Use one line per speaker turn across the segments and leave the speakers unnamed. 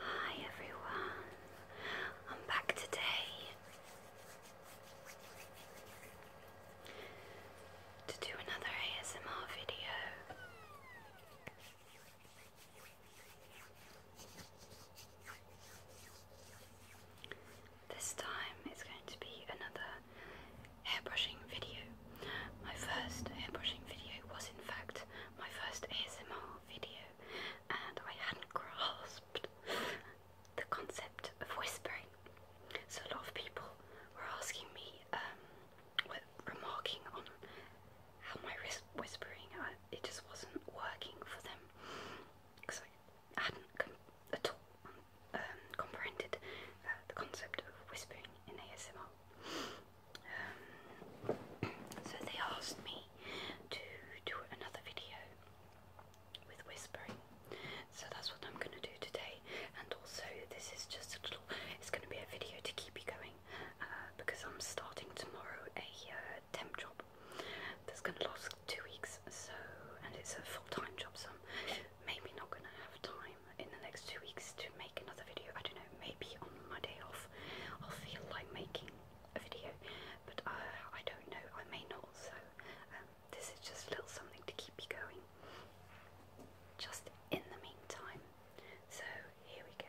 Hi everyone, I'm back today to do another ASMR video. This time it's going to be another hairbrushing video. My first hairbrushing video was, in fact, my first ASMR video and I hadn't grasped the concept of whispering. So a lot of people were asking me, um, remarking on how my whispering, uh, it just wasn't working for them because I hadn't com- at all um, comprehended uh, the concept of whispering in ASMR so they asked me to do another video with whispering. So that's what I'm going to do today. And also, this is just a little, it's going to be a video to keep you going uh, because I'm starting tomorrow a uh, temp job that's going to last two weeks. So, and it's a full time job, so maybe not going to have time in the next two weeks make another video. I don't know, maybe on my day off I'll feel like making a video, but uh, I don't know, I may not. So, um, this is just a little something to keep you going just in the meantime. So, here we go.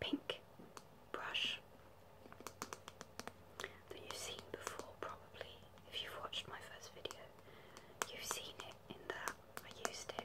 pink brush that you've seen before probably if you've watched my first video. You've seen it in that I used it.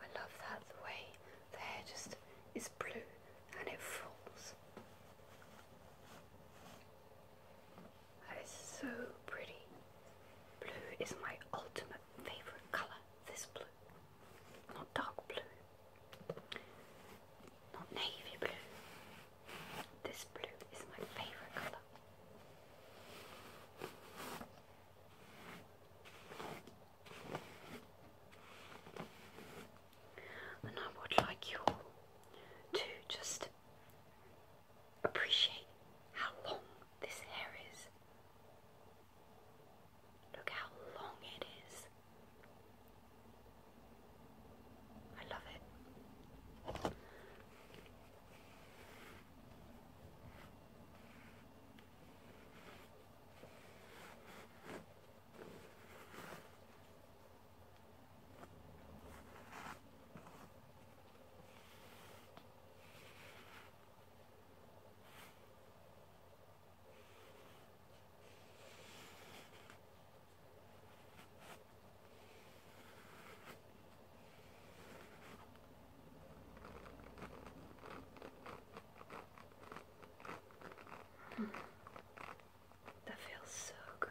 I love that the way the hair just is blue and it falls. That is so pretty. Blue is my ultimate favorite color. This blue. Not dark blue. Not navy blue. This blue is my favorite color. And I would like you to just Appreciate how long this hair is. Look how long it is. I love it. That feels so good.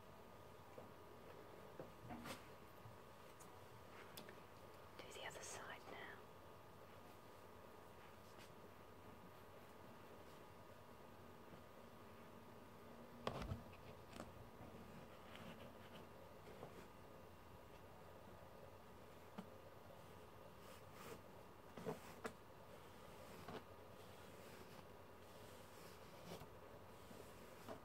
Do the other side now.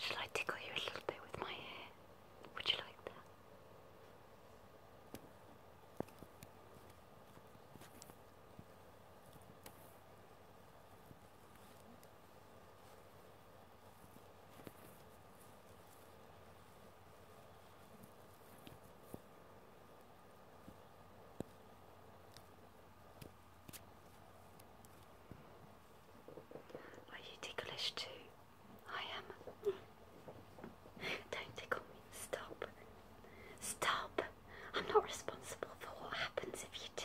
Shall I tickle you a little bit with my hair? Would you like that? Are you ticklish too? I am. Don't tickle me. Stop. Stop. I'm not responsible for what happens if you do.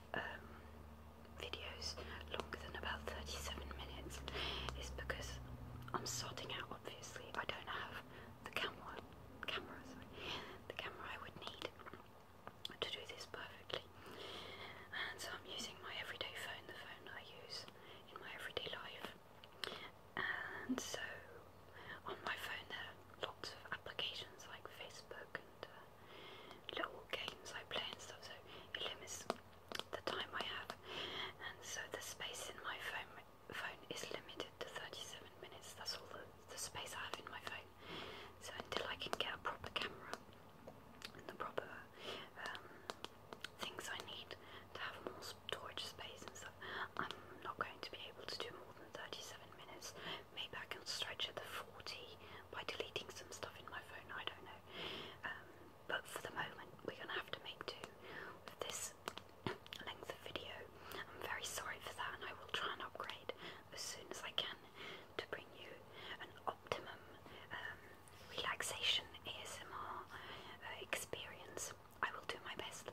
Um, videos longer than about 37 minutes is because I'm sorting out obviously I don't have the camera camera sorry, the camera I would need to do this perfectly and so I'm using my everyday phone the phone I use in my everyday life and so on my phone there are lots of applications like Facebook and uh, little games I play and stuff, so it limits the time I have. And so the space in my phone phone is limited to 37 minutes. That's all the, the space I have in my phone. So until I can get a proper camera and the proper um, things I need to have more storage space and stuff, I'm not going to be able to do more than 37 minutes maybe I can stretch it to 40 by deleting some stuff in my phone, I don't know. Um, but for the moment, we're going to have to make do with this length of video. I'm very sorry for that, and I will try and upgrade as soon as I can to bring you an optimum um, relaxation ASMR uh, experience. I will do my best.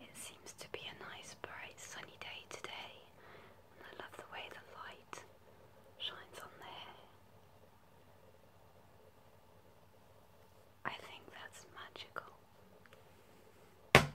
It seems to be a nice, bright, sunny day today, and I love the way the light shines on the hair. I think that's magical. Sorry.